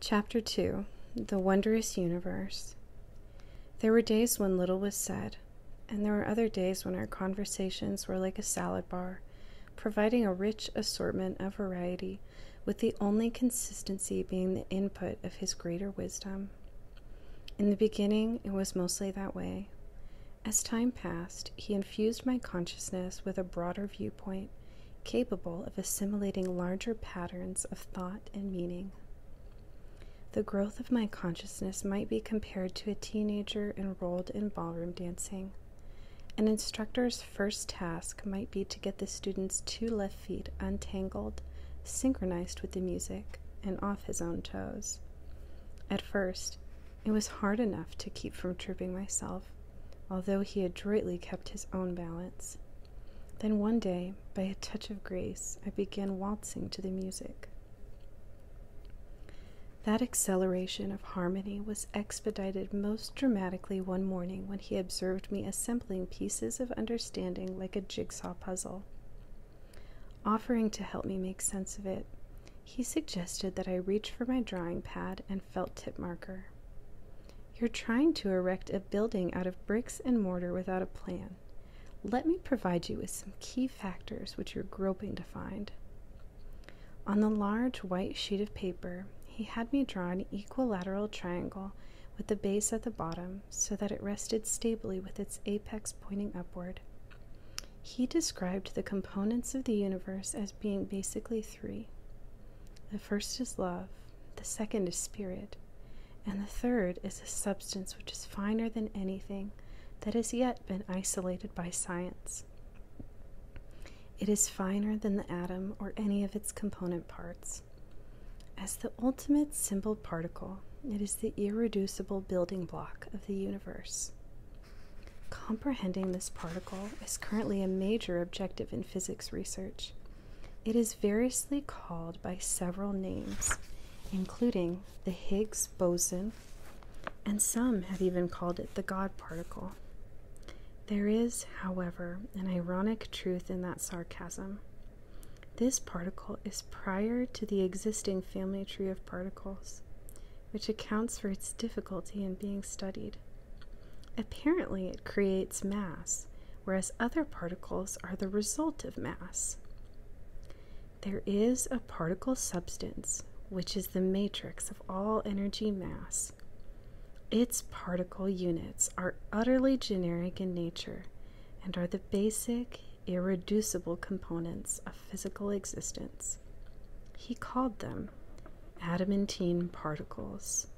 Chapter 2 The Wondrous Universe There were days when little was said, and there were other days when our conversations were like a salad bar, providing a rich assortment of variety, with the only consistency being the input of his greater wisdom. In the beginning, it was mostly that way. As time passed, he infused my consciousness with a broader viewpoint capable of assimilating larger patterns of thought and meaning. The growth of my consciousness might be compared to a teenager enrolled in ballroom dancing. An instructor's first task might be to get the student's two left feet untangled, synchronized with the music, and off his own toes. At first, it was hard enough to keep from tripping myself although he adroitly kept his own balance. Then one day, by a touch of grace, I began waltzing to the music. That acceleration of harmony was expedited most dramatically one morning when he observed me assembling pieces of understanding like a jigsaw puzzle. Offering to help me make sense of it, he suggested that I reach for my drawing pad and felt tip marker. You're trying to erect a building out of bricks and mortar without a plan. Let me provide you with some key factors which you're groping to find. On the large white sheet of paper, he had me draw an equilateral triangle with the base at the bottom so that it rested stably with its apex pointing upward. He described the components of the universe as being basically three the first is love, the second is spirit, and the third is a substance which is finer than anything that has yet been isolated by science. It is finer than the atom or any of its component parts. As the ultimate simple particle, it is the irreducible building block of the universe. Comprehending this part is currently a major objective in physics research. It is variously called by several names, including the Higgs boson, and some have even called it the God particle. There is, however, an ironic truth in that sarcasm. This particle is prior to the existing family tree of particles, which accounts for its difficulty in being studied. Apparently, it creates mass, whereas other particles are the result of mass. There is a particle substance, which is the matrix of all energy mass. Its particle units are utterly generic in nature and are the basic, irreducible components of physical existence. He called them adamantine particles.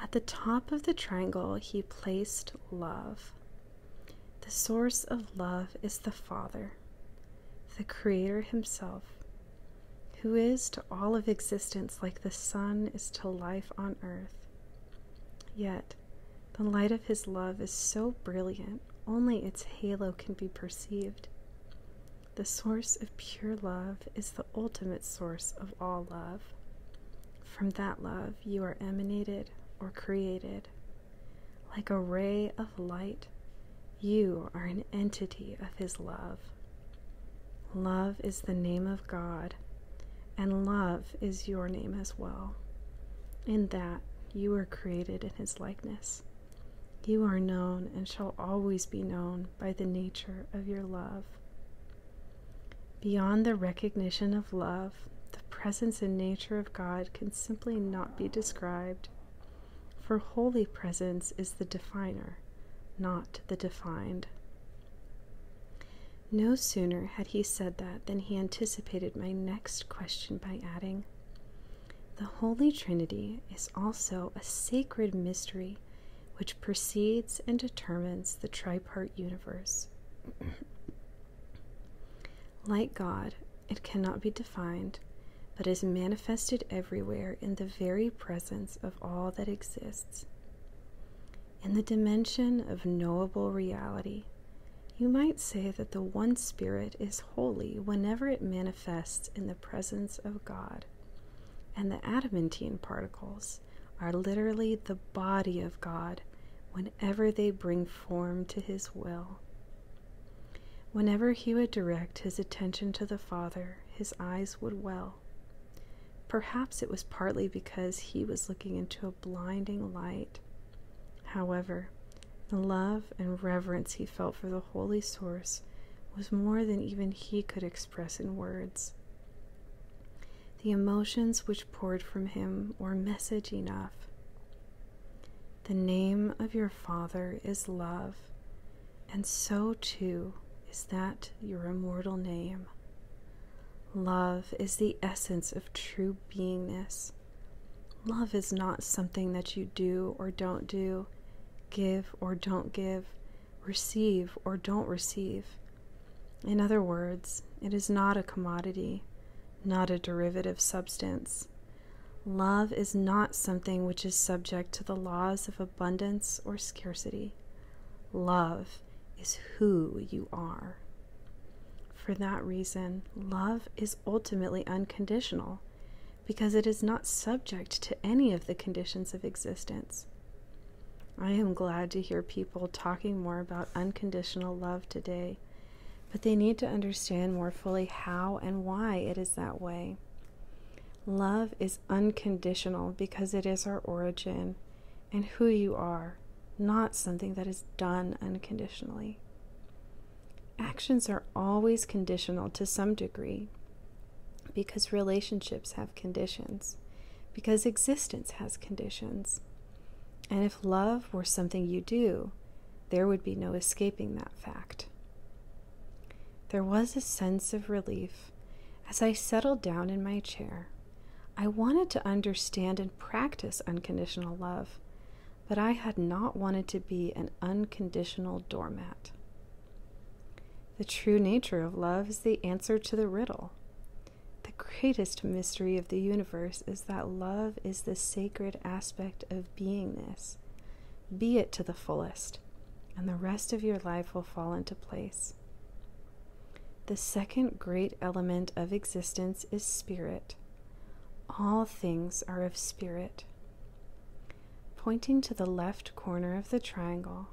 At the top of the triangle, he placed love. The source of love is the Father, the Creator Himself, who is to all of existence like the sun is to life on earth. Yet, the light of His love is so brilliant, only its halo can be perceived. The source of pure love is the ultimate source of all love. From that love, you are emanated or created. Like a ray of light, you are an entity of His love. Love is the name of God, and love is your name as well. In that, you are created in His likeness. You are known and shall always be known by the nature of your love. Beyond the recognition of love, the presence and nature of God can simply not be described, for holy presence is the definer, not the defined. No sooner had he said that than he anticipated my next question by adding, The Holy Trinity is also a sacred mystery which precedes and determines the tripart universe. like God, it cannot be defined, but is manifested everywhere in the very presence of all that exists. In the dimension of knowable reality, you might say that the One Spirit is holy whenever it manifests in the presence of God. And the adamantine particles are literally the body of God whenever they bring form to His will. Whenever he would direct his attention to the Father, his eyes would well. Perhaps it was partly because he was looking into a blinding light. However, the love and reverence he felt for the Holy Source was more than even he could express express in words. The emotions which poured from him were message enough. The name of your Father is love, and so too is that your immortal name. Love is the essence of true beingness. Love is not something that you do or don't do, give or don't give, receive or don't receive. In other words, it is not a commodity, not a derivative substance. Love is not something which is subject to the laws of abundance or scarcity. Love is who you are. For that reason, love is ultimately unconditional because it is not subject to any of the conditions of existence. I am glad to hear people talking more about unconditional love today, but they need to understand more fully how and why it is that way. Love is unconditional because it is our origin and who you are, not something that is done unconditionally. Actions are always conditional to some degree, because relationships have conditions, because existence has conditions. And if love were something you do, there would be no escaping that fact. There was a sense of relief as I settled down in my chair. I wanted to understand and practice unconditional love, but I had not wanted to be an unconditional doormat. The true nature of love is the answer to the riddle. The greatest mystery of the universe is that love is the sacred aspect of beingness. Be it to the fullest, and the rest of your life will fall into place. The second great element of existence is spirit. All things are of spirit. Pointing to the left corner of the triangle,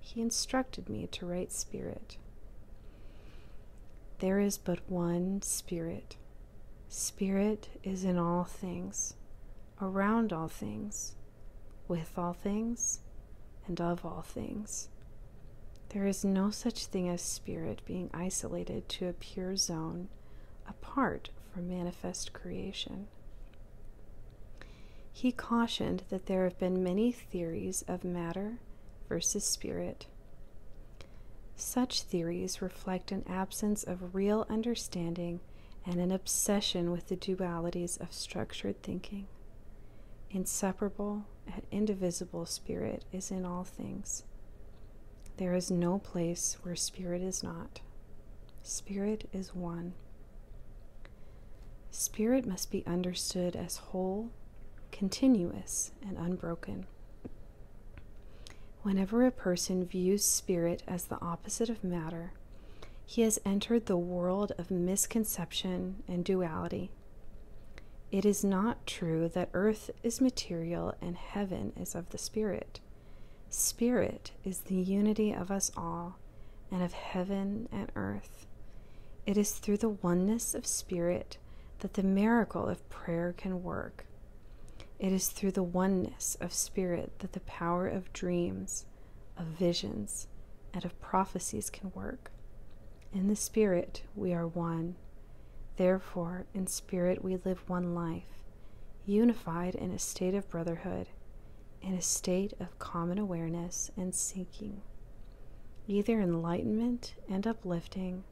he instructed me to write Spirit. There is but one Spirit. Spirit is in all things, around all things, with all things, and of all things. There is no such thing as spirit being isolated to a pure zone apart from manifest creation. He cautioned that there have been many theories of matter versus spirit. Such theories reflect an absence of real understanding and an obsession with the dualities of structured thinking. Inseparable and indivisible spirit is in all things. There is no place where spirit is not. Spirit is one. Spirit must be understood as whole, continuous, and unbroken. Whenever a person views spirit as the opposite of matter, he has entered the world of misconception and duality. It is not true that earth is material and heaven is of the spirit. Spirit is the unity of us all and of heaven and earth. It is through the oneness of spirit that the miracle of prayer can work. It is through the oneness of spirit that the power of dreams, of visions, and of prophecies can work. In the spirit, we are one. Therefore, in spirit, we live one life, unified in a state of brotherhood, in a state of common awareness and seeking either enlightenment and uplifting,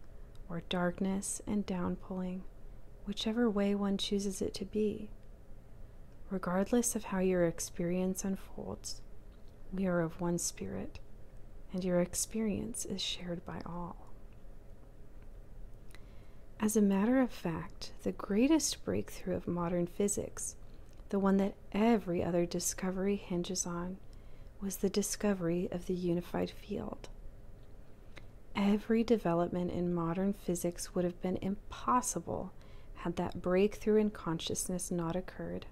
or darkness and downpulling, whichever way one chooses it to be. Regardless of how your experience unfolds, we are of one spirit, and your experience is shared by all. As a matter of fact, the greatest breakthrough of modern physics, the one that every other discovery hinges on was the discovery of the unified field. Every development in modern physics would have been impossible had that breakthrough in consciousness not occurred.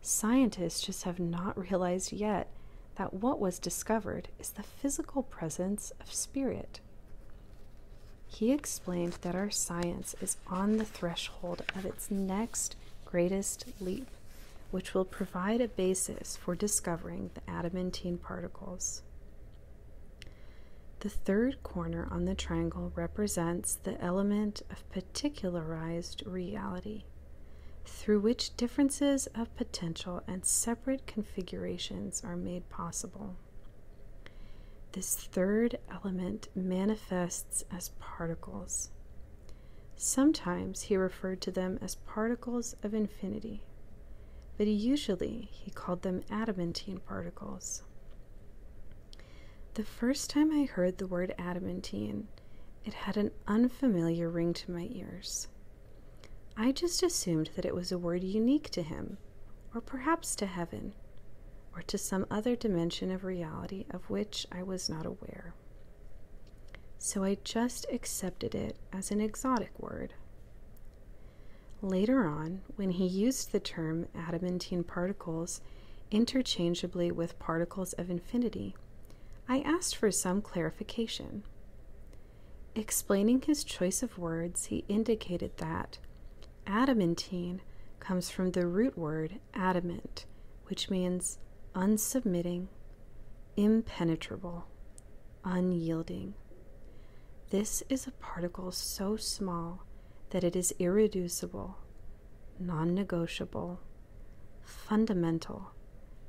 Scientists just have not realized yet that what was discovered is the physical presence of spirit. He explained that our science is on the threshold of its next greatest leap, which will provide a basis for discovering the adamantine particles. The third corner on the triangle represents the element of particularized reality, through which differences of potential and separate configurations are made possible. This third element manifests as particles. Sometimes he referred to them as particles of infinity, but usually he called them adamantine particles. The first time I heard the word adamantine, it had an unfamiliar ring to my ears. I just assumed that it was a word unique to him, or perhaps to heaven, or to some other dimension of reality of which I was not aware. So I just accepted it as an exotic word. Later on, when he used the term adamantine particles interchangeably with particles of infinity, I asked for some clarification. Explaining his choice of words, he indicated that adamantine comes from the root word adamant, which means unsubmitting, impenetrable, unyielding. This is a particle so small that it is irreducible, non negotiable, fundamental,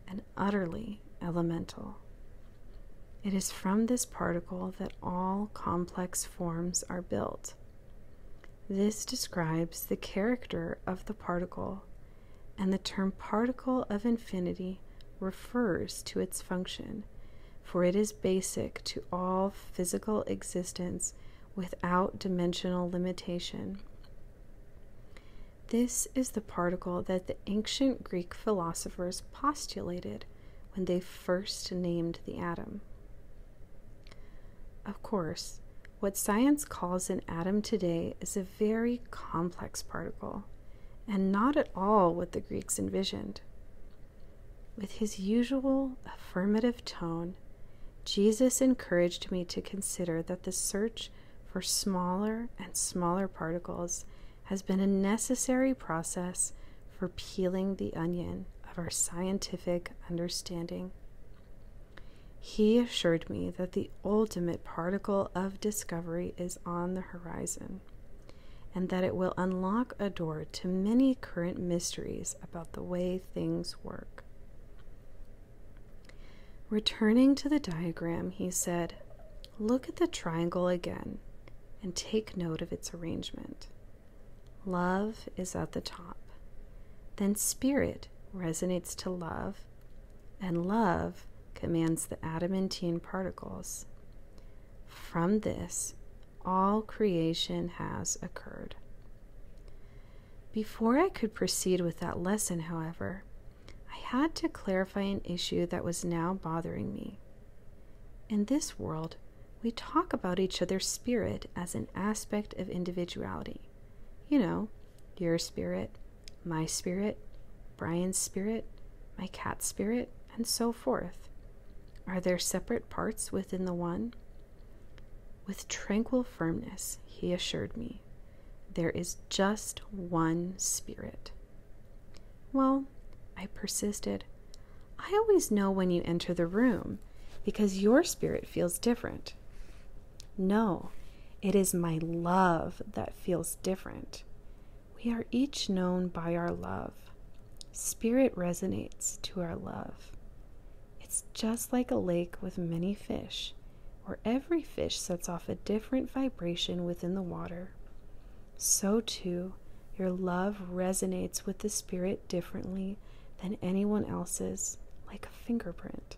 and utterly elemental. It is from this particle that all complex forms are built. This describes the character of the particle, and the term particle of infinity refers to its function, for it is basic to all physical existence without dimensional limitation. This is the particle that the ancient Greek philosophers postulated when they first named the atom. Of course, what science calls an atom today is a very complex particle, and not at all what the Greeks envisioned. With his usual affirmative tone, Jesus encouraged me to consider that the search for smaller and smaller particles has been a necessary process for peeling the onion of our scientific understanding. He assured me that the ultimate particle of discovery is on the horizon and that it will unlock a door to many current mysteries about the way things work. Returning to the diagram, he said, Look at the triangle again and take note of its arrangement. Love is at the top. Then spirit resonates to love, and love commands the adamantine particles. From this, all creation has occurred. Before I could proceed with that lesson, however, I had to clarify an issue that was now bothering me. In this world, we talk about each other's spirit as an aspect of individuality. You know, your spirit, my spirit, Brian's spirit, my cat's spirit, and so forth. Are there separate parts within the one? With tranquil firmness, he assured me, there is just one spirit. Well, I persisted. I always know when you enter the room because your spirit feels different. No, it is my love that feels different. We are each known by our love. Spirit resonates to our love. It's just like a lake with many fish, where every fish sets off a different vibration within the water. So, too, your love resonates with the spirit differently than anyone else's, like a fingerprint.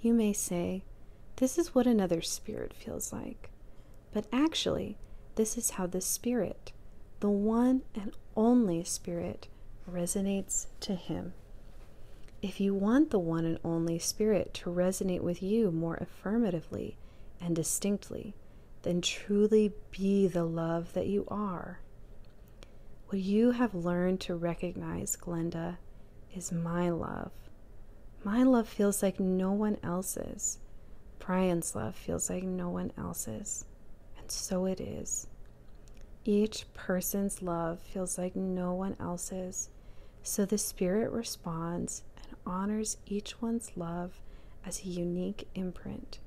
You may say, This is what another spirit feels like. But actually, this is how the spirit, the one and only spirit, resonates to him. If you want the one and only spirit to resonate with you more affirmatively and distinctly, then truly be the love that you are. What you have learned to recognize, Glenda, is my love. My love feels like no one else's. Brian's love feels like no one else's. And so it is. Each person's love feels like no one else's. So the Spirit responds and honors each one's love as a unique imprint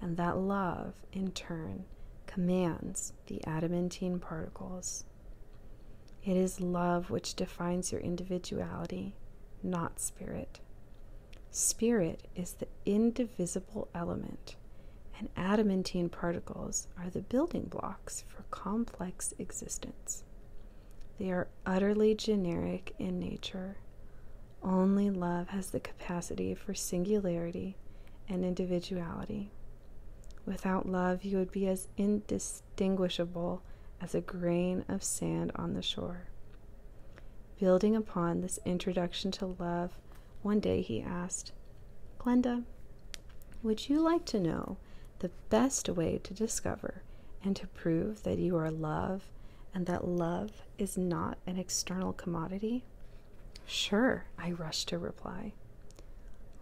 and that love, in turn, commands the adamantine particles. It is love which defines your individuality, not spirit. Spirit is the indivisible element, and adamantine particles are the building blocks for complex existence. They are utterly generic in nature. Only love has the capacity for singularity and individuality. Without love, you would be as indistinguishable as a grain of sand on the shore. Building upon this introduction to love, one day he asked, Glenda, would you like to know the best way to discover and to prove that you are love and that love is not an external commodity? Sure, I rushed to reply.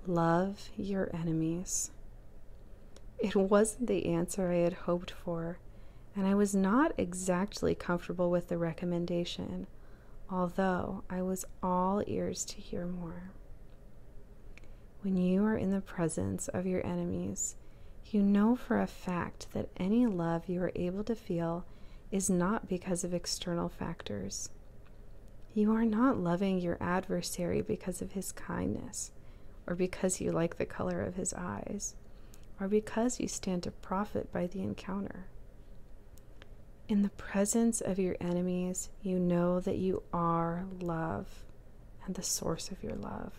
Love your enemies. It wasn't the answer I had hoped for, and I was not exactly comfortable with the recommendation, although I was all ears to hear more. When you are in the presence of your enemies, you know for a fact that any love you are able to feel is not because of external factors. You are not loving your adversary because of his kindness, or because you like the color of his eyes, or because you stand to profit by the encounter. In the presence of your enemies, you know that you are love and the source of your love.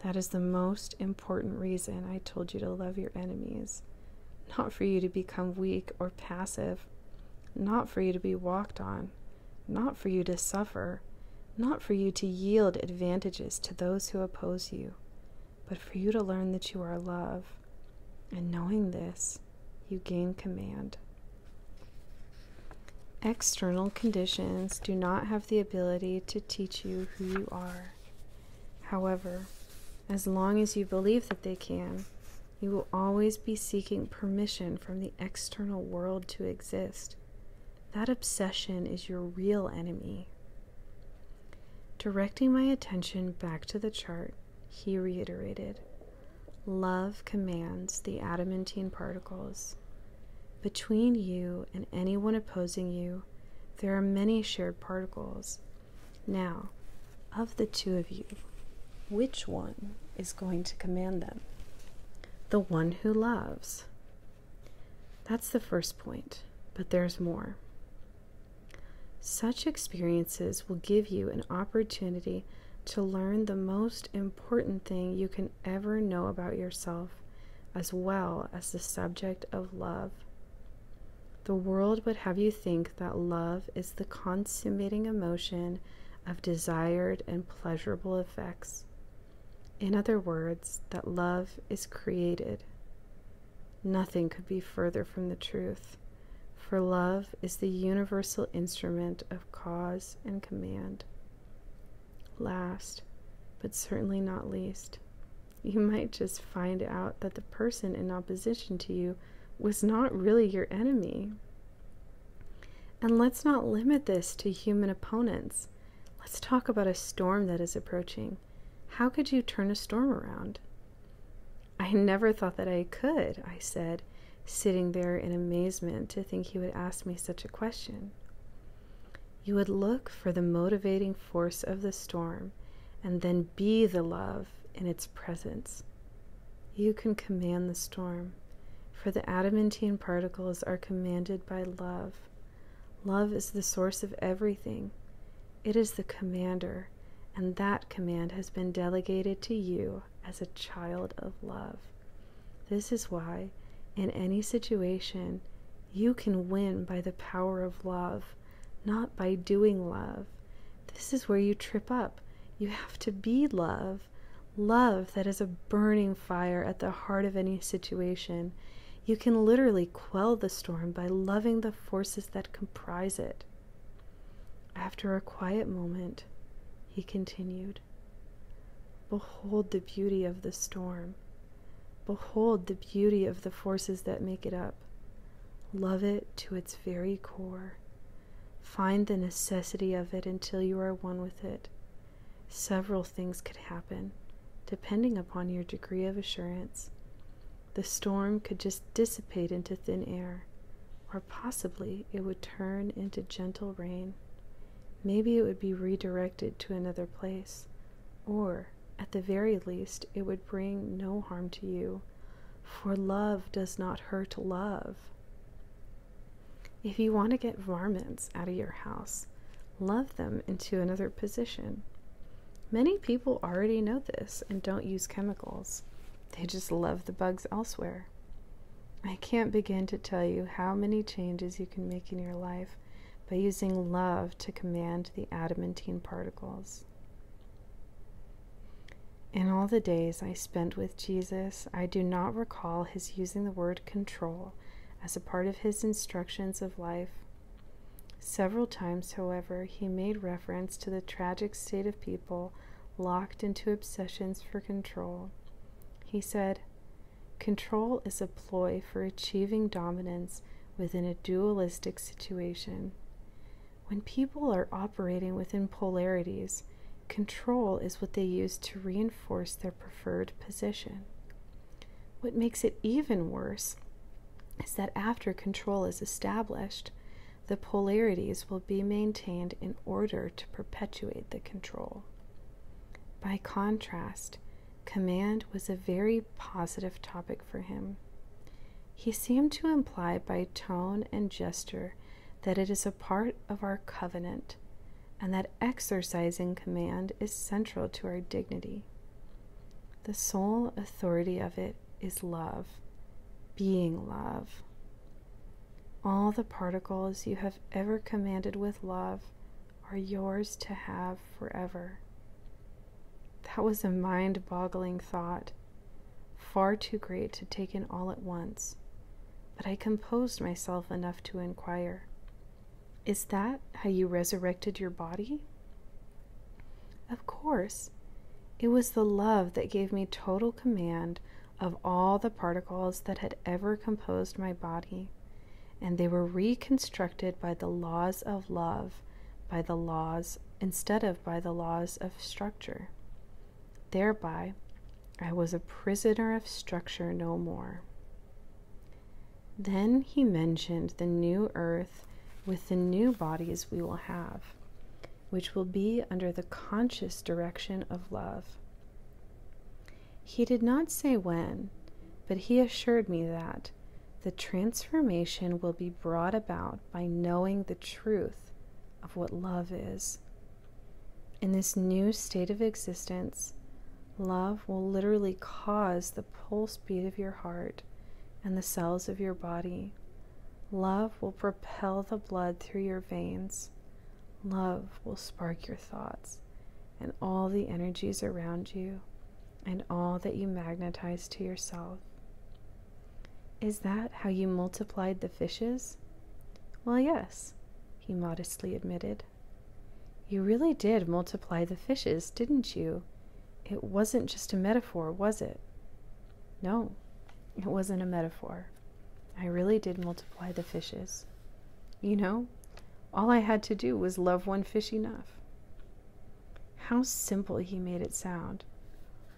That is the most important reason I told you to love your enemies not for you to become weak or passive, not for you to be walked on, not for you to suffer, not for you to yield advantages to those who oppose you, but for you to learn that you are love. And knowing this, you gain command. External conditions do not have the ability to teach you who you are. However, as long as you believe that they can, you will always be seeking permission from the external world to exist. That obsession is your real enemy. Directing my attention back to the chart, he reiterated Love commands the adamantine particles. Between you and anyone opposing you, there are many shared particles, now, of the two of you, which one is going to command them? The one who loves. That's the first point, but there's more. Such experiences will give you an opportunity to learn the most important thing you can ever know about yourself, as well as the subject of love. The world would have you think that love is the consummating emotion of desired and pleasurable effects. In other words, that love is created. Nothing could be further from the truth, for love is the universal instrument of cause and command. Last, but certainly not least, you might just find out that the person in opposition to you was not really your enemy. And let's not limit this to human opponents. Let's talk about a storm that is approaching. How could you turn a storm around? I never thought that I could, I said, sitting there in amazement to think he would ask me such a question. You would look for the motivating force of the storm and then be the love in its presence. You can command the storm, for the adamantine particles are commanded by love. Love is the source of everything. It is the commander, and that command has been delegated to you as a child of love. This is why, in any situation, you can win by the power of love not by doing love. This is where you trip up. You have to be love. Love that is a burning fire at the heart of any situation. You can literally quell the storm by loving the forces that comprise it. After a quiet moment, he continued Behold the beauty of the storm. Behold the beauty of the forces that make it up. Love it to its very core. Find the necessity of it until you are one with it. Several things could happen, depending upon your degree of assurance. The storm could just dissipate into thin air, or possibly it would turn into gentle rain. Maybe it would be redirected to another place, or at the very least, it would bring no harm to you for love does not hurt love. If you want to get varmints out of your house, love them into another position. Many people already know this and don't use chemicals. They just love the bugs elsewhere. I can't begin to tell you how many changes you can make in your life by using love to command the adamantine particles. In all the days I spent with Jesus, I do not recall his using the word control as a part of his instructions of life. Several times, however, he made reference to the tragic state of people locked into obsessions for control. He said, Control is a ploy for achieving dominance within a dualistic situation. When people are operating within polarities, control is what they use to reinforce their preferred position. What makes it even worse is that after control is established, the polarities will be maintained in order to perpetuate the control. By contrast, command was a very positive topic for him. He seemed to imply by tone and gesture that it is a part of our covenant, and that exercising command is central to our dignity. The sole authority of it is love, being love. All the particles you have ever commanded with love are yours to have forever. That was a mind boggling thought far too great to take in all at once, but I composed myself enough to inquire Is that how you resurrected your body? Of course. It was the love that gave me total command of all the particles that had ever composed my body, and they were reconstructed by the laws of love, by the laws, instead of by the laws of structure. Thereby, I was a prisoner of structure no more. Then he mentioned the new earth with the new bodies we will have, which will be under the conscious direction of love. He did not say when, but he assured me that the transformation will be brought about by knowing the truth of what love is. In this new state of existence, love will literally cause the pulse beat of your heart and the cells of your body. Love will propel the blood through your veins. Love will spark your thoughts and all the energies around you and all that you magnetize to yourself. Is that how you multiplied the fishes? Well, yes, he modestly admitted. You really did multiply the fishes, didn't you? It wasn't just a metaphor, was it? No, it wasn't a metaphor. I really did multiply the fishes. You know, all I had to do was love one fish enough. How simple he made it sound.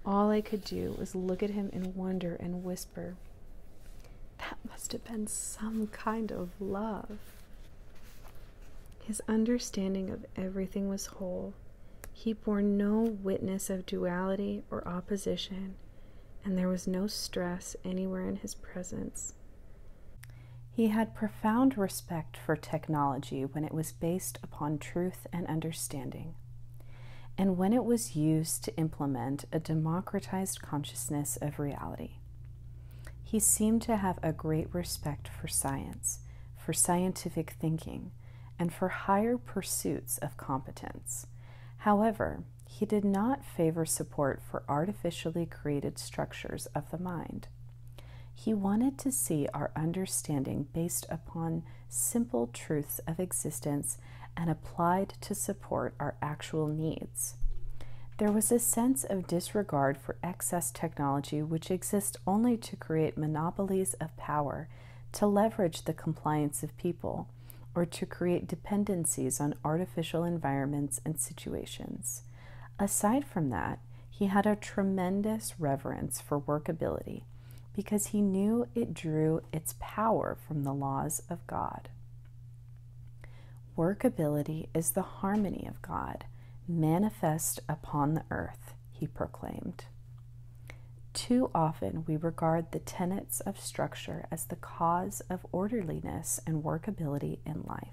All I could do was look at him in wonder and whisper, That must have been some kind of love. His understanding of everything was whole. He bore no witness of duality or opposition, and there was no stress anywhere in his presence. He had profound respect for technology when it was based upon truth and understanding. And when it was used to implement a democratized consciousness of reality, he seemed to have a great respect for science, for scientific thinking, and for higher pursuits of competence. However, he did not favor support for artificially created structures of the mind. He wanted to see our understanding based upon simple truths of existence and applied to support our actual needs. There was a sense of disregard for excess technology which exists only to create monopolies of power, to leverage the compliance of people, or to create dependencies on artificial environments and situations. Aside from that, he had a tremendous reverence for workability because he knew it drew its power from the laws of God. Workability is the harmony of God, manifest upon the earth, he proclaimed. Too often we regard the tenets of structure as the cause of orderliness and workability in life.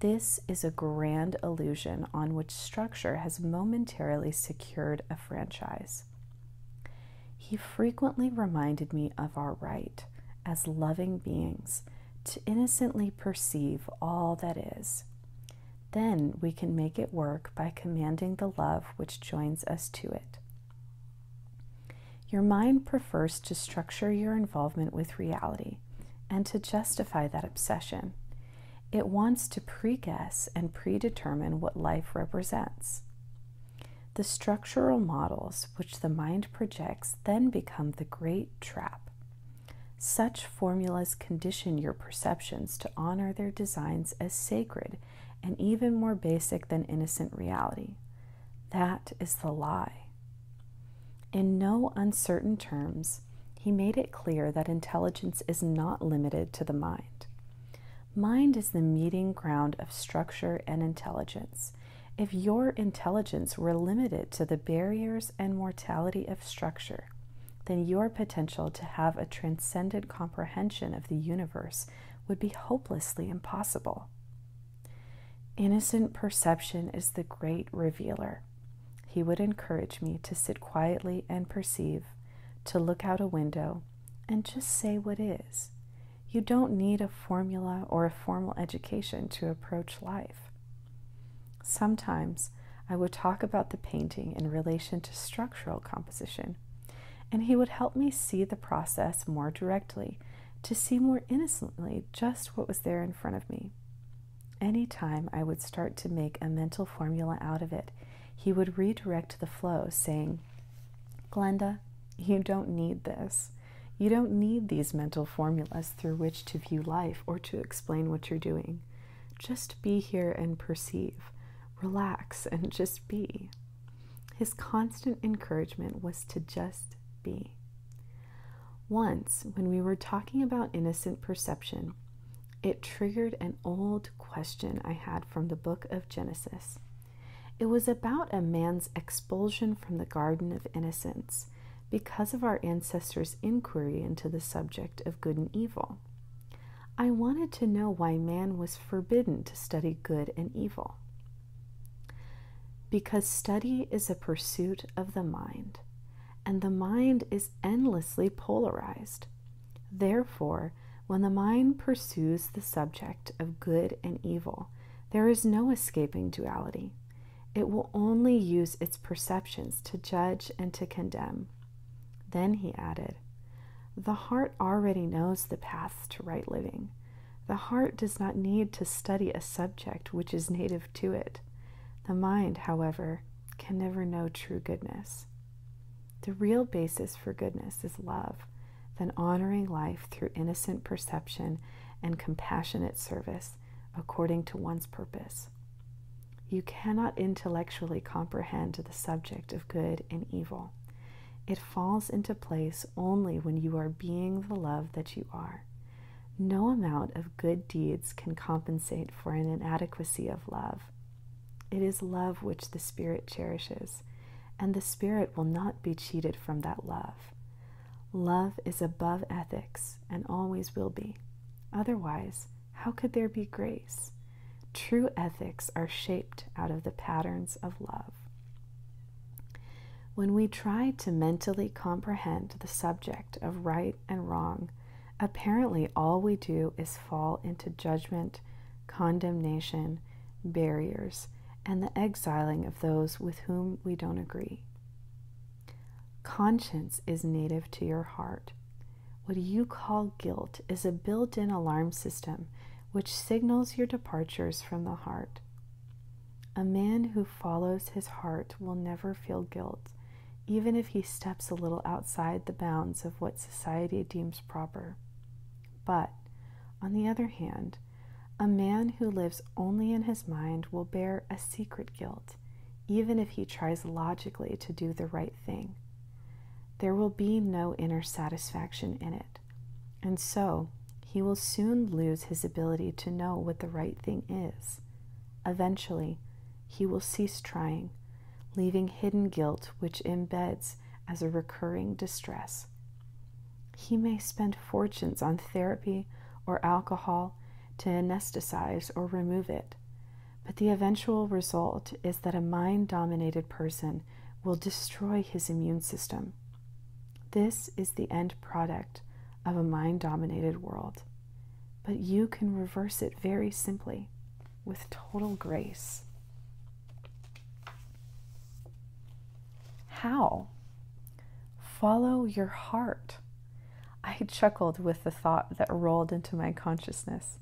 This is a grand illusion on which structure has momentarily secured a franchise. He frequently reminded me of our right as loving beings to innocently perceive all that is. Then we can make it work by commanding the love which joins us to it. Your mind prefers to structure your involvement with reality and to justify that obsession. It wants to pre guess and predetermine what life represents. The structural models which the mind projects then become the great trap. Such formulas condition your perceptions to honor their designs as sacred and even more basic than innocent reality. That is the lie. In no uncertain terms, he made it clear that intelligence is not limited to the mind. Mind is the meeting ground of structure and intelligence. If your intelligence were limited to the barriers and mortality of structure, then your potential to have a transcendent comprehension of the universe would be hopelessly impossible. Innocent perception is the great revealer. He would encourage me to sit quietly and perceive, to look out a window, and just say what is. You don't need a formula or a formal education to approach life. Sometimes I would talk about the painting in relation to structural composition, and he would help me see the process more directly, to see more innocently just what was there in front of me. Any time I would start to make a mental formula out of it, he would redirect the flow, saying, Glenda, you don't need this. You don't need these mental formulas through which to view life or to explain what you're doing. Just be here and perceive. Relax and just be. His constant encouragement was to just be. Once, when we were talking about innocent perception, it triggered an old question I had from the book of Genesis. It was about a man's expulsion from the Garden of Innocence because of our ancestors' inquiry into the subject of good and evil. I wanted to know why man was forbidden to study good and evil. Because study is a pursuit of the mind, and the mind is endlessly polarized. Therefore, when the mind pursues the subject of good and evil, there is no escaping duality. It will only use its perceptions to judge and to condemn. Then he added, The heart already knows the paths to right living. The heart does not need to study a subject which is native to it. The mind, however, can never know true goodness. The real basis for goodness is love, than honoring life through innocent perception and compassionate service according to one's purpose. You cannot intellectually comprehend the subject of good and evil. It falls into place only when you are being the love that you are. No amount of good deeds can compensate for an inadequacy of love. It is love which the Spirit cherishes and the spirit will not be cheated from that love. Love is above ethics and always will be. Otherwise, how could there be grace? True ethics are shaped out of the patterns of love. When we try to mentally comprehend the subject of right and wrong, apparently all we do is fall into judgment, condemnation, barriers, and the exiling of those with whom we don't agree. Conscience is native to your heart. What you call guilt is a built in alarm system which signals your departures from the heart. A man who follows his heart will never feel guilt, even if he steps a little outside the bounds of what society deems proper. But, on the other hand, a man who lives only in his mind will bear a secret guilt, even if he tries logically to do the right thing. There will be no inner satisfaction in it, and so he will soon lose his ability to know what the right thing is. Eventually, he will cease trying, leaving hidden guilt which embeds as a recurring distress. He may spend fortunes on therapy or alcohol to anesthetize or remove it, but the eventual result is that a mind dominated person will destroy his immune system. This is the end product of a mind dominated world. But you can reverse it very simply with total grace. How? Follow your heart. I chuckled with the thought that rolled into my consciousness.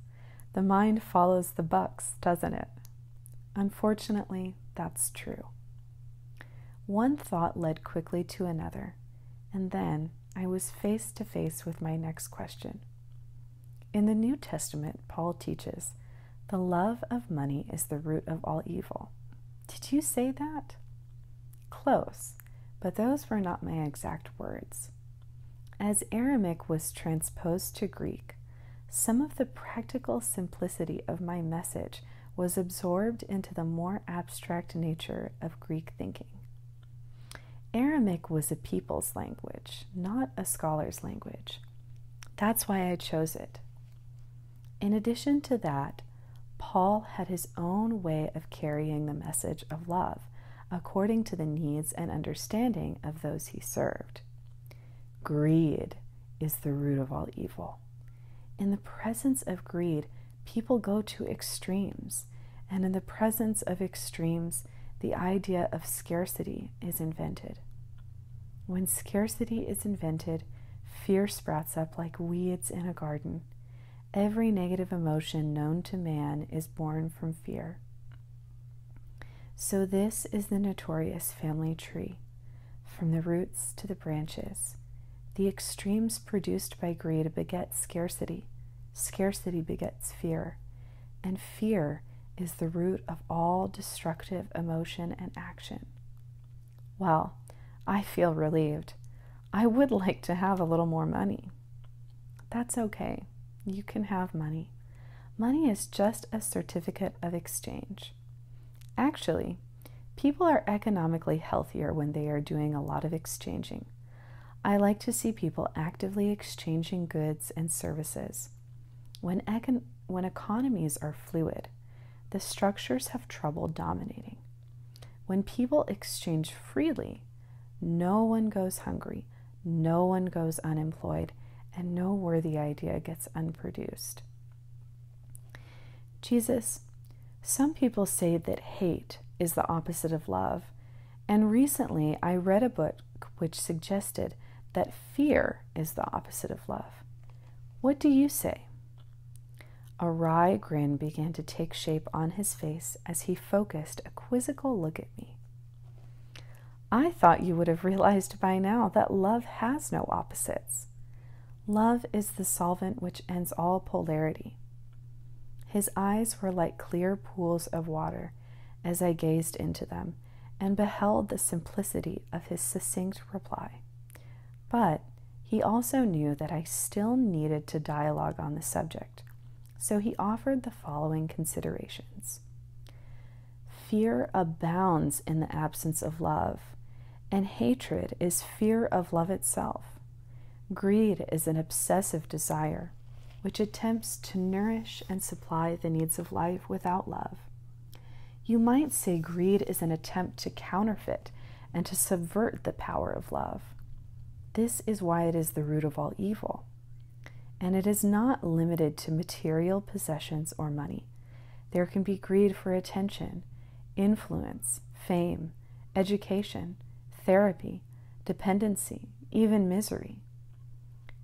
The mind follows the bucks, doesn't it? Unfortunately, that's true. One thought led quickly to another, and then I was face to face with my next question. In the New Testament, Paul teaches the love of money is the root of all evil. Did you say that? Close, but those were not my exact words. As Aramic was transposed to Greek, some of the practical simplicity of my message was absorbed into the more abstract nature of Greek thinking. Aramic was a people's language, not a scholar's language. That's why I chose it, in addition to that, Paul had his own way of carrying the message of love according to the needs and understanding of those he served. Greed is the root of all evil. In the presence of greed, people go to extremes, and in the presence of extremes, the idea of scarcity is invented. When scarcity is invented, fear sprouts up like weeds in a garden. Every negative emotion known to man is born from fear. So, this is the notorious family tree, from the roots to the branches. The extremes produced by greed beget scarcity, scarcity begets fear, and fear is the root of all destructive emotion and action. Well, I feel relieved. I would like to have a little more money. That's okay. You can have money. Money is just a certificate of exchange. Actually, people are economically healthier when they are doing a lot of exchanging. I like to see people actively exchanging goods and services. When, econ- when economies are fluid, the structures have trouble dominating. When people exchange freely, no one goes hungry, no one goes unemployed, and no worthy idea gets unproduced. Jesus, some people say that hate is the opposite of love, and recently I read a book which suggested that fear is the opposite of love. What do you say? A wry grin began to take shape on his face as he focused a quizzical look at me. I thought you would have realized by now that love has no opposites. Love is the solvent which ends all polarity. His eyes were like clear pools of water as I gazed into them and beheld the simplicity of his succinct reply. But he also knew that I still needed to dialogue on the subject, so he offered the following considerations Fear abounds in the absence of love, and hatred is fear of love itself. Greed is an obsessive desire which attempts to nourish and supply the needs of life without love. You might say greed is an attempt to counterfeit and to subvert the power of love. This is why it is the root of all evil. And it is not limited to material possessions or money. There can be greed for attention, influence, fame, education, therapy, dependency, even misery.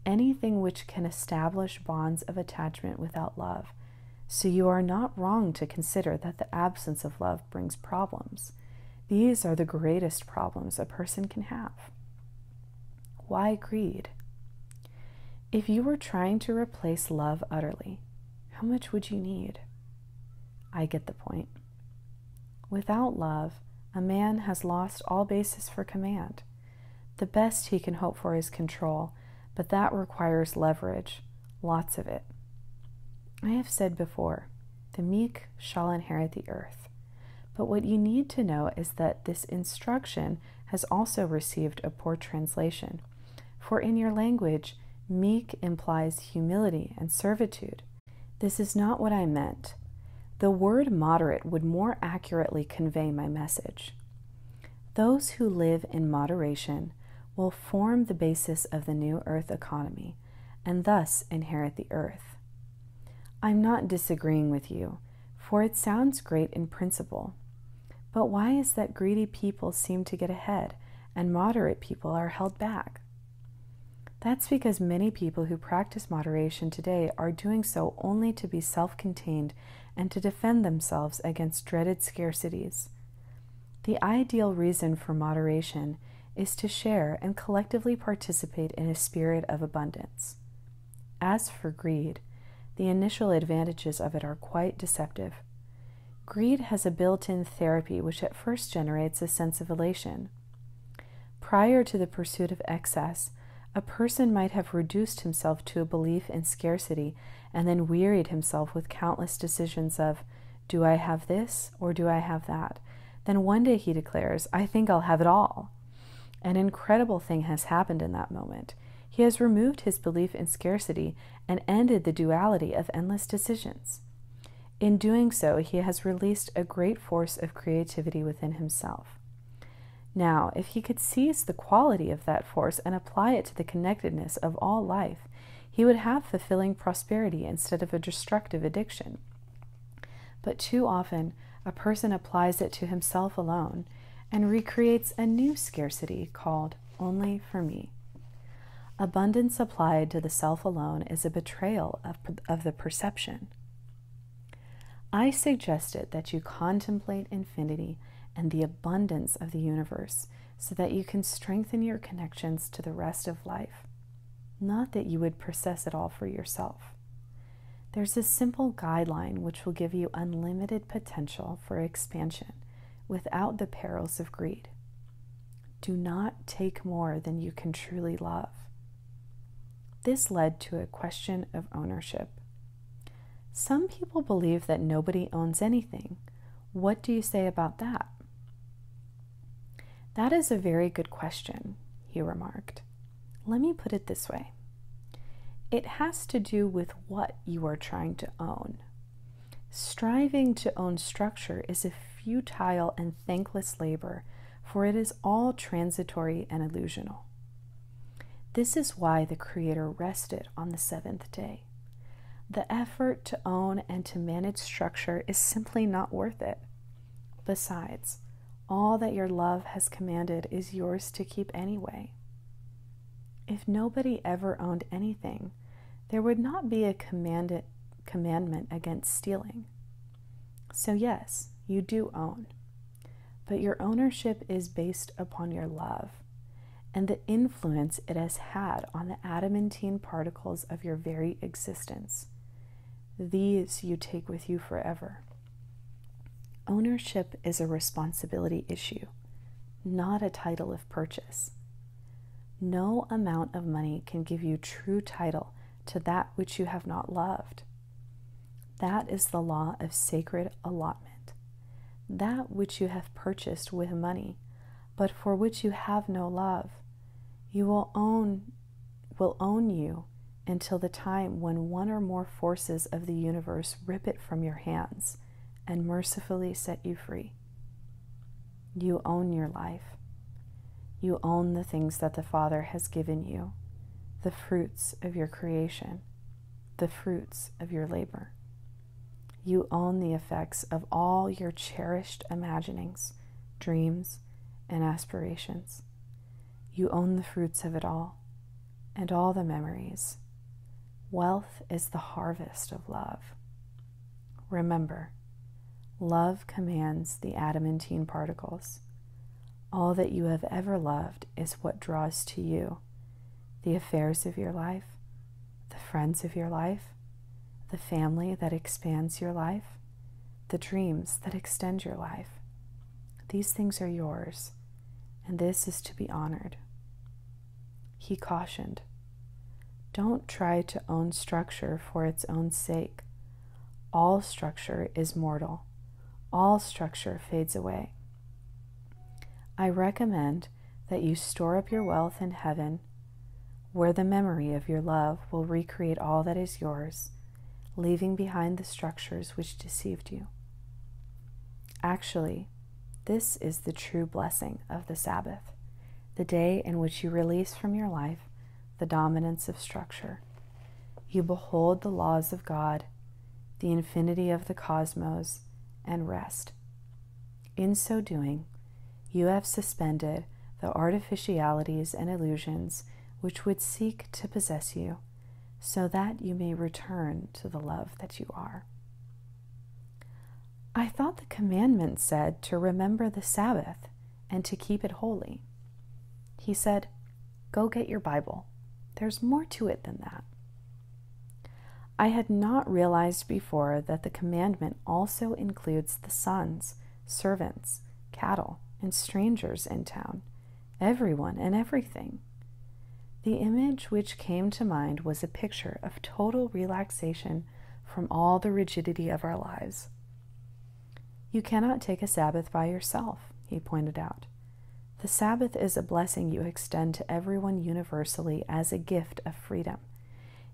Anything which can establish bonds of attachment without love so you are not wrong to consider that the absence of love brings problems. These are the greatest problems a person can have. Why greed? If you were trying to replace love utterly, how much would you need? I get the point. Without love, a man has lost all basis for command. The best he can hope for is control, but that requires leverage, lots of it. I have said before, the meek shall inherit the earth. But what you need to know is that this instruction has also received a poor translation. For in your language, meek implies humility and servitude. This is not what I meant. The word moderate would more accurately convey my message. Those who live in moderation will form the basis of the new earth economy and thus inherit the earth. I'm not disagreeing with you, for it sounds great in principle. But why is that greedy people seem to get ahead and moderate people are held back? That's because many people who practice moderation today are doing so only to be self contained and to defend themselves against dreaded scarcities. The ideal reason for moderation is to share and collectively participate in a spirit of abundance. As for greed, the initial advantages of it are quite deceptive. Greed has a built in therapy which at first generates a sense of elation. Prior to the pursuit of excess, a person might have reduced himself to a belief in scarcity and then wearied himself with countless decisions of, do I have this or do I have that? Then one day he declares, I think I'll have it all. An incredible thing has happened in that moment. He has removed his belief in scarcity and ended the duality of endless decisions. In doing so, he has released a great force of creativity within himself. Now, if he could seize the quality of that force and apply it to the connectedness of all life, he would have fulfilling prosperity instead of a destructive addiction. But too often, a person applies it to himself alone and recreates a new scarcity called only for me. Abundance applied to the self alone is a betrayal of, of the perception. I suggested that you contemplate infinity and the abundance of the universe so that you can strengthen your connections to the rest of life. Not that you would possess it all for yourself. There's a simple guideline which will give you unlimited potential for expansion without the perils of greed. Do not take more than you can truly love. This led to a question of ownership some people believe that nobody owns anything. What do you say about that? That is a very good question, he remarked. Let me put it this way it has to do with what you are trying to own. Striving to own structure is a futile and thankless labor, for it is all transitory and illusional. This is why the Creator rested on the seventh day. The effort to own and to manage structure is simply not worth it. Besides, all that your love has commanded is yours to keep anyway. If nobody ever owned anything, there would not be a commanded, commandment against stealing. So, yes, you do own, but your ownership is based upon your love, and the influence it has had on the adamantine particles of your very existence. These you take with you forever. Ownership is a responsibility issue, not a title of purchase. No amount of money can give you true title to that which you have not loved. That is the law of sacred allotment that which you have purchased with money, but for which you have no love, you will own will own you until the time when one or more forces of the universe rip it from your hands and mercifully set you free. You own your life. You own the things that the Father has given you, the fruits of your creation, the fruits of your labor. You own the effects of all your cherished imaginings, dreams, and aspirations. You own the fruits of it all and all the memories. Wealth is the harvest of love. Remember, love commands the adamantine particles. All that you have ever loved is what draws to you the affairs of your life, the friends of your life, the family that expands your life, the dreams that extend your life. These things are yours, and this is to be honored. He cautioned Don't try to own structure for its own sake. All structure is mortal, all structure fades away. I recommend that you store up your wealth in heaven, where the memory of your love will recreate all that is yours, leaving behind the structures which deceived you. Actually, this is the true blessing of the Sabbath, the day in which you release from your life the dominance of structure. You behold the laws of God, the infinity of the cosmos, and rest. In so doing, you have suspended the artificialities and illusions which would seek to possess you, so that you may return to the love that you are. I thought the commandment said to remember the Sabbath and to keep it holy. He said, Go get your Bible. There's more to it than that. I had not realized before that the commandment also includes the sons, servants, cattle, and strangers in town, everyone and everything. The image which came to mind was a picture of total relaxation from all the rigidity of our lives. You cannot take a Sabbath by yourself, he pointed out. The Sabbath is a blessing you extend to everyone universally as a gift of freedom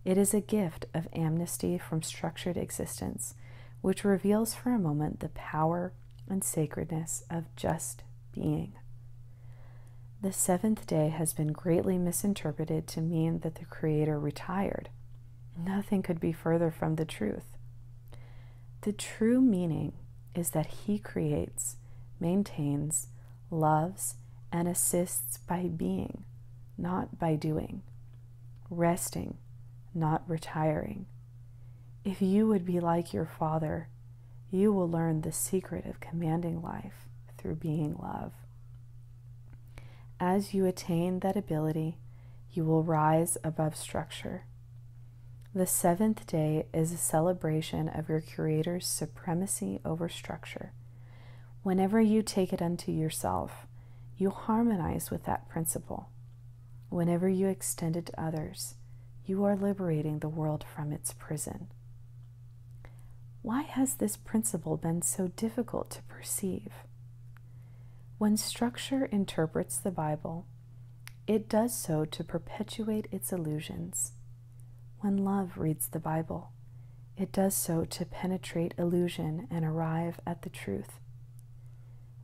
it is a gift of amnesty from structured existence, which reveals for a moment the power and sacredness of just being. The seventh day has been greatly misinterpreted to mean that the Creator retired. Nothing could be further from the truth. The true meaning is that He creates, maintains, loves, and assists by being, not by doing, resting, not retiring. If you would be like your Father, you will learn the secret of commanding life through being love. As you attain that ability, you will rise above structure. The seventh day is a celebration of your Creator's supremacy over structure, Whenever you take it unto yourself, you harmonize with that principle. Whenever you extend it to others, you are liberating the world from its prison. Why has this principle been so difficult to perceive? When structure interprets the Bible, it does so to perpetuate its illusions. When love reads the Bible, it does so to penetrate illusion and arrive at the truth.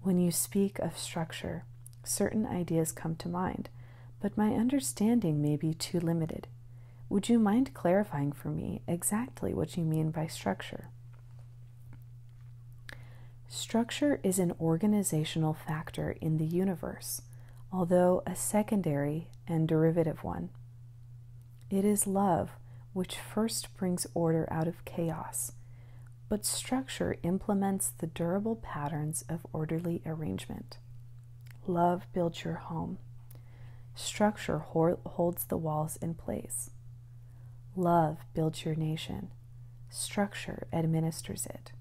When you speak of structure, certain ideas come to mind, but my understanding may be too limited. Would you mind clarifying for me exactly what you mean by structure? Structure is an organizational factor in the universe, although a secondary and derivative one. It is love which first brings order out of chaos, but structure implements the durable patterns of orderly arrangement. Love builds your home. Structure holds the walls in place. Love builds your nation. Structure administers it.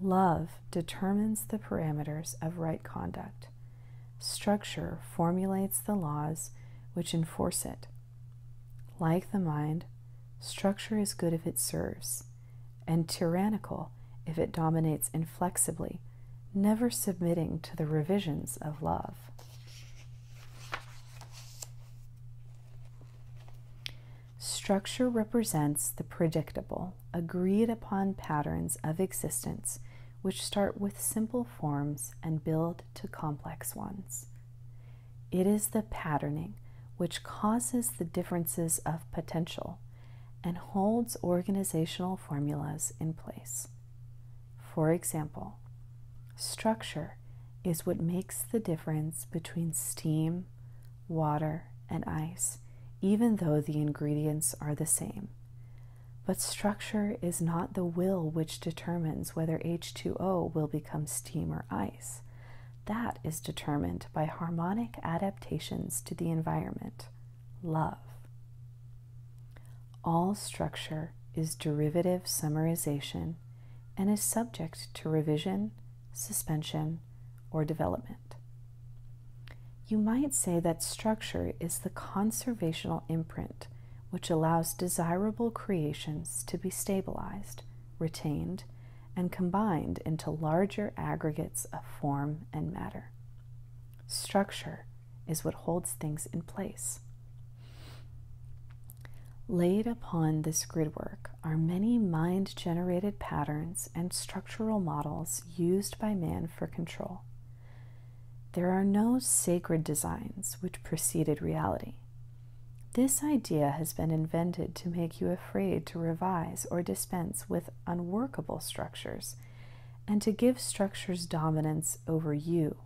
Love determines the parameters of right conduct. Structure formulates the laws which enforce it. Like the mind, structure is good if it serves, and tyrannical if it dominates inflexibly, never submitting to the revisions of love. Structure represents the predictable, agreed upon patterns of existence which start with simple forms and build to complex ones. It is the patterning which causes the differences of potential and holds organizational formulas in place. For example, structure is what makes the difference between steam, water, and ice, even though the ingredients are the same. But structure is not the will which determines whether H2O will become steam or ice. That is determined by harmonic adaptations to the environment, love. All structure is derivative summarization and is subject to revision, suspension, or development. You might say that structure is the conservational imprint which allows desirable creations to be stabilized, retained, and combined into larger aggregates of form and matter. Structure is what holds things in place. Laid upon this gridwork are many mind generated patterns and structural models used by man for control. There are no sacred designs which preceded reality. This idea has been invented to make you afraid to revise or dispense with unworkable structures and to give structures dominance over you.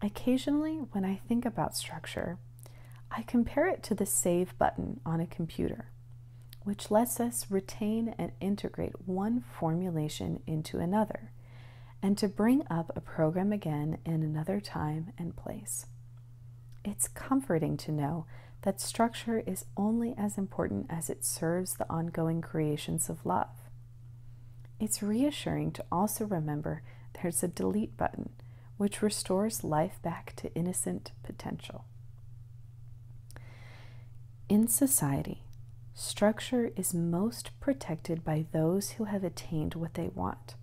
Occasionally, when I think about structure, I compare it to the save button on a computer which lets us retain and integrate one formulation into another, and to bring up a program again in another time and place. It's comforting to know that structure is only as important as it serves the ongoing creations of love. It's reassuring to also remember there's a delete button, which restores life back to innocent potential. In society, structure is most protected by those who have attained what they want.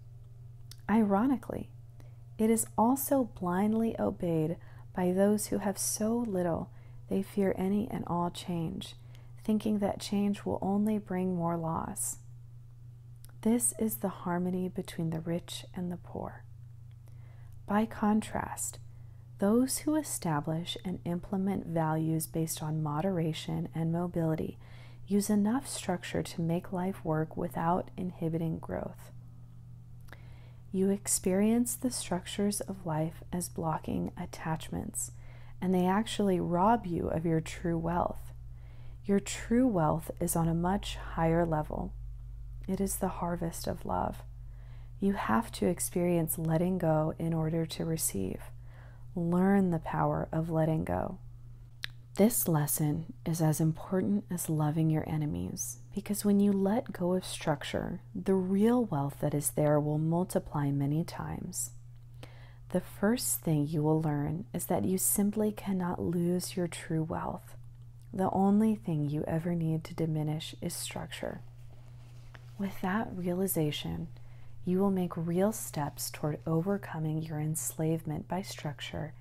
Ironically, it is also blindly obeyed by those who have so little they fear any and all change, thinking that change will only bring more loss. This is the harmony between the rich and the poor. By contrast, those who establish and implement values based on moderation and mobility use enough structure to make life work without inhibiting growth. You experience the structures of life as blocking attachments, and they actually rob you of your true wealth. Your true wealth is on a much higher level. It is the harvest of love. You have to experience letting go in order to receive. Learn the power of letting go. This lesson is as important as loving your enemies because when you let go of structure, the real wealth that is there will multiply many times. The first thing you will learn is that you simply cannot lose your true wealth. The only thing you ever need to diminish is structure. With that realization, you will make real steps toward overcoming your enslavement by structure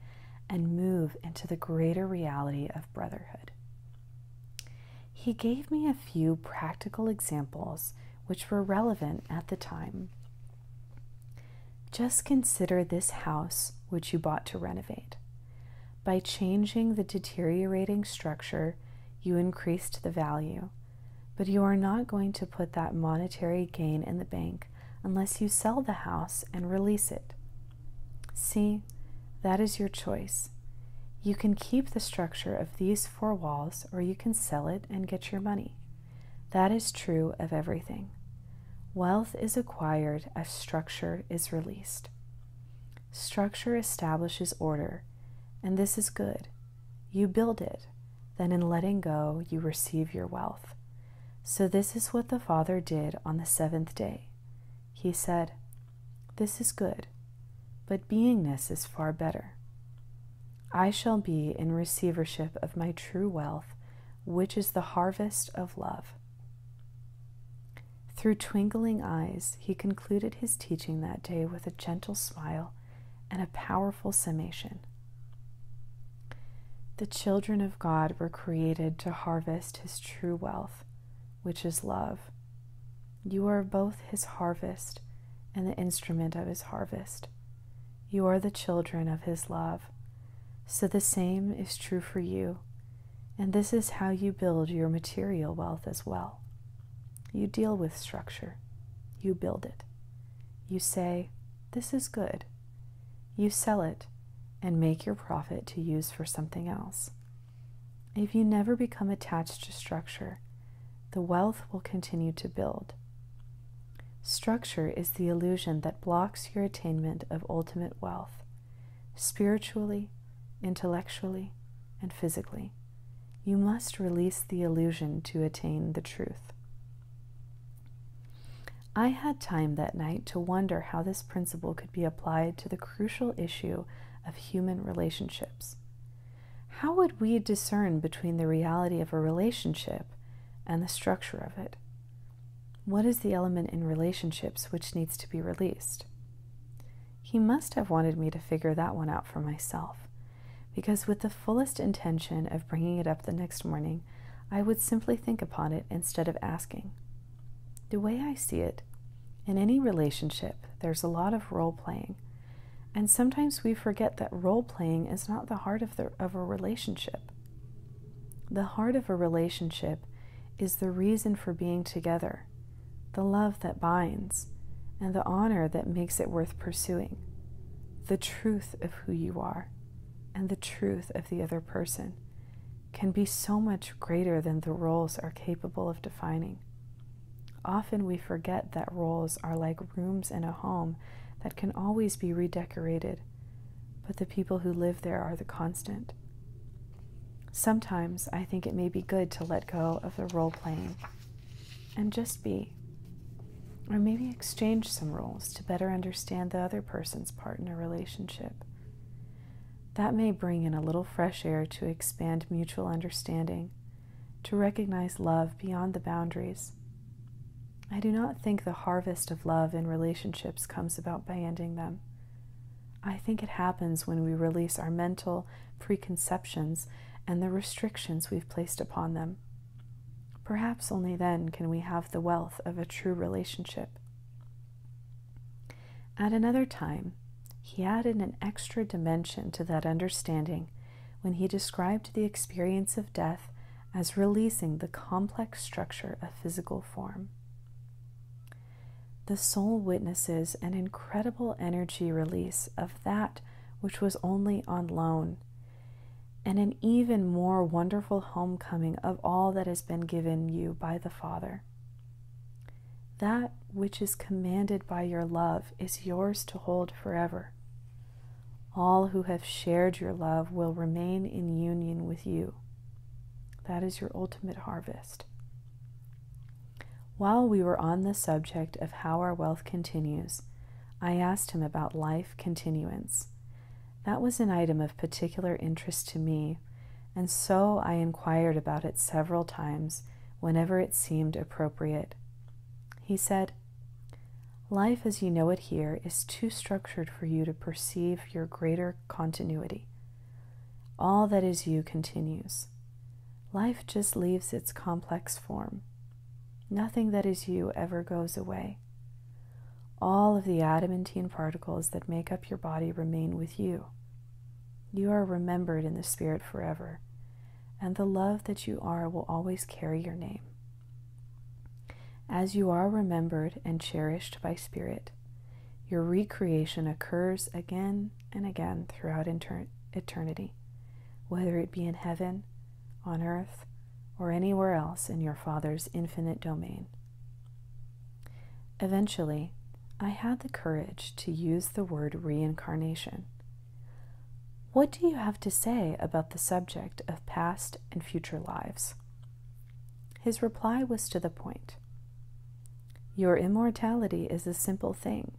and move into the greater reality of brotherhood. He gave me a few practical examples which were relevant at the time. Just consider this house which you bought to renovate. By changing the deteriorating structure you increased the value. But you are not going to put that monetary gain in the bank unless you sell the house and release it. See, that is your choice. You can keep the structure of these four walls or you can sell it and get your money. That is true of everything. Wealth is acquired as structure is released. Structure establishes order, and this is good. You build it, then in letting go, you receive your wealth. So, this is what the Father did on the seventh day. He said, This is good, but beingness is far better. I shall be in receivership of my true wealth, which is the harvest of love. Through twinkling eyes, he, con concluded his teaching that day with a gentle smile and a powerful summation. The children of God were created to harvest His true wealth, which is love. You are both His harvest and the instrument of His harvest. You are the children of His love. So the same is true for you, and this is how you build your material wealth as well. You deal with structure, you build it. You say, This is good. You sell it and make your profit to use for something else. If you never become attached to structure, the wealth will continue to build. Structure is the illusion that blocks your attainment of ultimate wealth, spiritually, intellectually, and physically. You must release the illusion to attain the truth. I had time that night to wonder how this principle could be applied to the crucial issue of human relationships. How would we discern between the reality of a relationship and the structure of it? What is the element in relationships which needs to be released? He must have wanted me to figure that one out for myself, because with the fullest intention of bringing it up the next morning, I would simply think upon it instead of asking. The way I see it, in any relationship, there's a lot of role playing, and sometimes we forget that role playing is not the heart of, the, of a relationship. The heart of a relationship is the reason for being together the love that binds, and the honor that makes it worth pursuing, the truth of who you are and the truth of the other person can be so much greater than the roles are capable of defining. Often we forget that roles are like rooms in a home that can always be redecorated, but the people who live there are the constant. Sometimes I think it may be good to let go of the role playing and just be. Or maybe exchange some roles to better understand the other person's part in a relationship. That may bring in a little fresh air to expand mutual understanding, to recognize love beyond the boundaries. I do not think the harvest of love in relationships comes about by ending them. I think it happens when we release our mental, preconceptions and the restrictions we've placed upon them. Perhaps only then can we have the wealth of a true relationship. At another time, he added an extra dimension to that understanding when he described the experience of death as releasing the complex structure of physical form. The soul witnesses an incredible energy release of that which was only on loan, and an even more wonderful homecoming of all that has been given you by the Father. That which is commanded by your love is yours to hold forever. All who have shared your love will remain in union with you. That is your ultimate harvest. While we were on the subject of how our wealth continues, I asked him about life continuance. That was an item of particular interest to me, and so I inquired about it several times whenever it seemed appropriate. He said, Life as you know it here is too structured for you to perceive your greater continuity. All that is you continues. Life just leaves its complex form. Nothing that is you ever goes away. All of the adamantine particles that make up your body remain with you. You are remembered in the Spirit forever, and the love that you are will always carry your name. As you are remembered and cherished by Spirit, your recreation occurs again and again throughout eternity, whether it be in heaven, on earth, or anywhere else in your Father's infinite domain. Eventually, I had the courage to use the word reincarnation. What do you have to say about the subject of past and future lives? His reply was to the point Your immortality is a simple thing,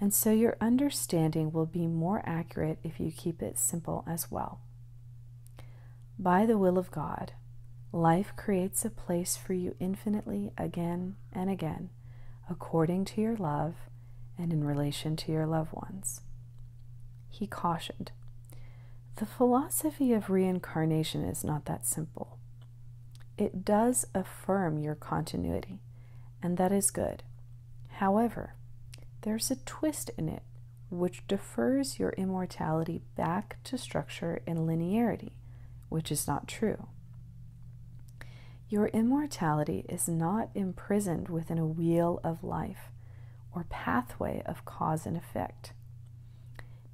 and so your understanding will be more accurate if you keep it simple as well. By the will of God, life creates a place for you infinitely again and again, according to your love and in relation to your loved ones. He cautioned The philosophy of reincarnation is not that simple. It does affirm your continuity and that is good. However, there's a twist in it which defers your immortality back to structure and linearity, which is not true. Your immortality is not imprisoned within a wheel of life or pathway of cause and effect.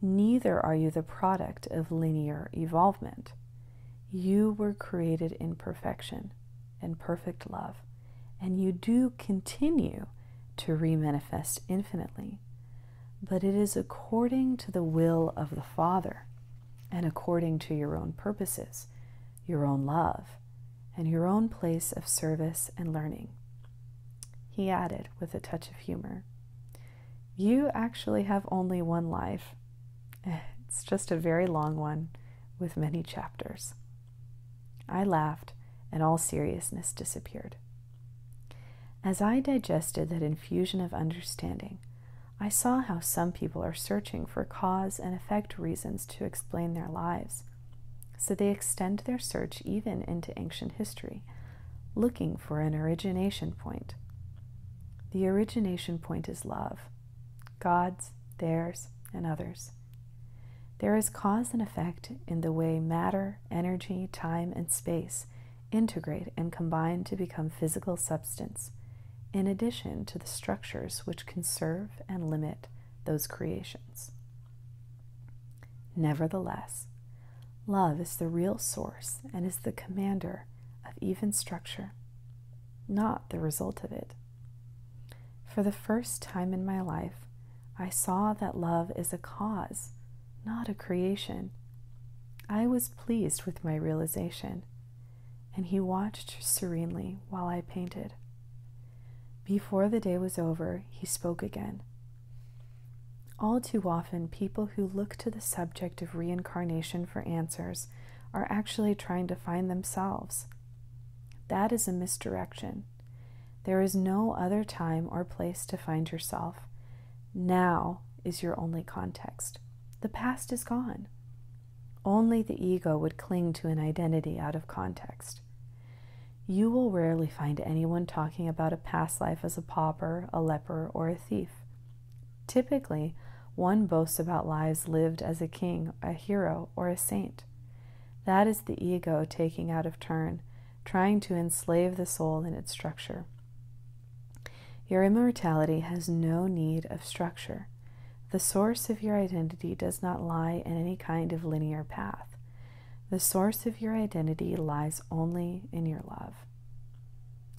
Neither are you the product of linear evolvement. You were created in perfection in perfect love, and you do continue to remanifest infinitely. But it is according to the will of the Father and according to your own purposes, your own love, and your own place of service and learning. He added with a touch of humor, You actually have only one life it's just a very long one with many chapters. I laughed, and all seriousness disappeared. As I digested that infusion of understanding, I saw how some people are searching for cause and effect reasons to explain their lives. So they extend their search even into ancient history, looking for an origination point. The origination point is love, God's, theirs, and others. There is cause and effect in the way matter, energy, time, and space integrate and combine to become physical substance, in addition to the structures which conserve and limit those creations. Nevertheless, love is the real source and is the commander of even structure, not the result of it. For the first time in my life, I saw that love is a cause, not a creation. I was pleased with my realization, and he watched serenely while I painted. Before the day was over, he spoke again. All too often, people who look to the subject of reincarnation for answers are actually trying to find themselves that is a misdirection. There is no other time or place to find yourself. Now is your only context. The past is gone. Only the ego would cling to an identity out of context. You will rarely find anyone talking about a past life as a pauper, a leper, or a thief. Typically, one boasts about lives lived as a king, a hero, or a saint. That is the ego taking out of turn, trying to enslave the soul in its structure. Your immortality has no need of structure. The source of your identity does not lie in any kind of linear path. The source of your identity lies only in your love.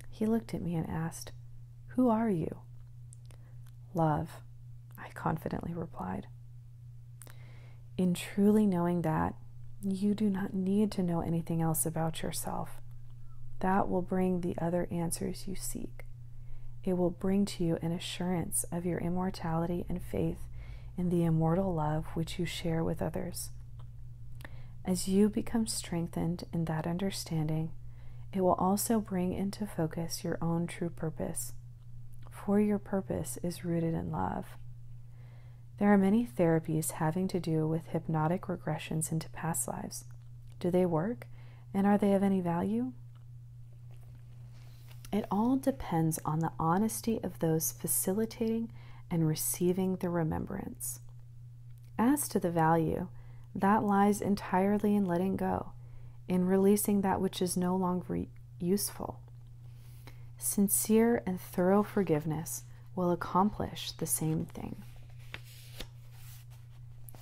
He looked at me and asked, Who are you? Love, I confidently replied. In truly knowing that, you do not need to know anything else about yourself. That will bring the other answers you seek. It will bring to you an assurance of your immortality and faith in the immortal love which you share with others. As you become strengthened in that understanding, it will also bring into focus your own true purpose for your purpose is rooted in love. There are many therapies having to do with hypnotic regressions into past lives. Do they work and are they of any value? It all depends on the honesty of those facilitating and receiving the remembrance. As to the value, that lies entirely in letting go in releasing that which is no longer useful. Sincere and thorough forgiveness will accomplish the same thing.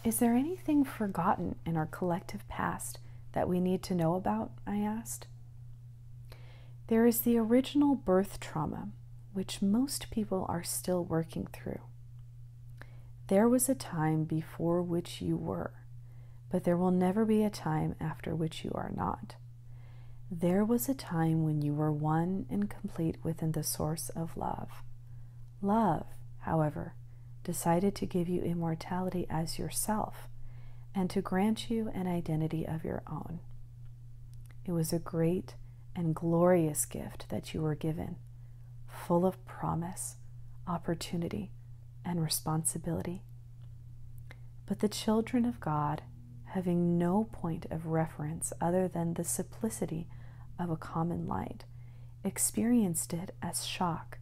Is there anything forgotten in our collective past that we need to know about? I asked. There is the original birth trauma, which most people are still working through. There was a time before which you were, but there will never be a time after which you are not. There was a time when you were one and complete within the source of love. Love, however, decided to give you immortality as yourself and to grant you an identity of your own. It was a great and glorious gift that you were given, full of promise, opportunity, and responsibility. But the children of God, having no point of reference other than the simplicity of a common light, experienced it as shock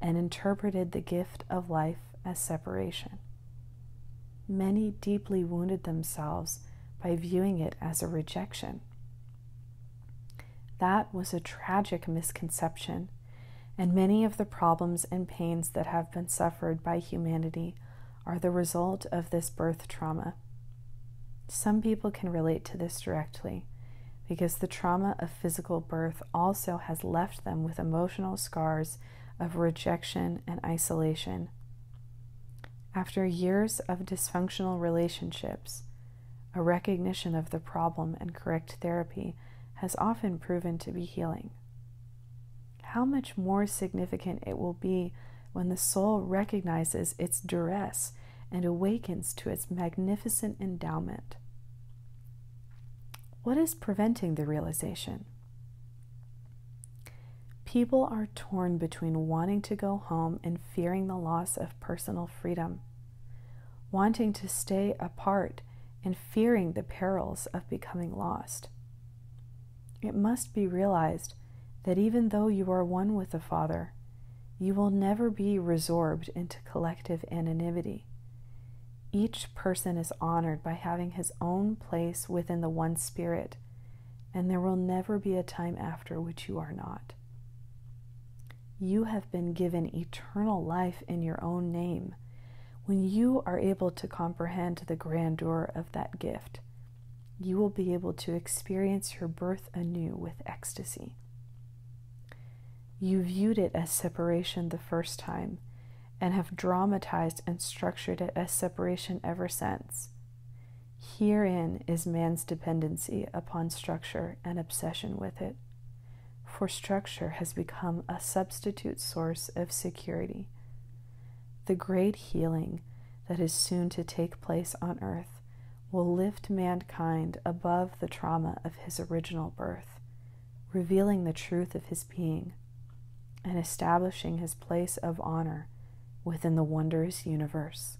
and interpreted the gift of life as separation. Many deeply wounded themselves by viewing it as a rejection. That was a tragic misconception and many of the problems and pains that have been suffered by humanity are the result of this birth trauma. Some people can relate to this directly because the trauma of physical birth also has left them with emotional scars of rejection and isolation. After years of dysfunctional relationships, a recognition of the problem and correct therapy has often proven to be healing. How much more significant it will be when the soul recognizes its duress and awakens to its magnificent endowment. What is preventing the realization? People are torn between wanting to go home and fearing the loss of personal freedom wanting to stay apart and fearing the perils of becoming lost. It must be realized that even though you are one with the Father, you will never be resorbed into collective anonymity. Each person is honored by having his own place within the one Spirit, and there will never be a time after which you are not. You have been given eternal life in your own name when you are able to comprehend the grandeur of that gift, you will be able to experience your birth anew with ecstasy. You viewed it as separation the first time and have dramatized and structured it as separation ever since. Herein is man's dependency upon structure and obsession with it for structure has become a substitute source of security. The great healing that is soon to take place on earth will lift mankind above the trauma of his original birth, revealing the truth of his being and establishing his place of honor within the wondrous universe.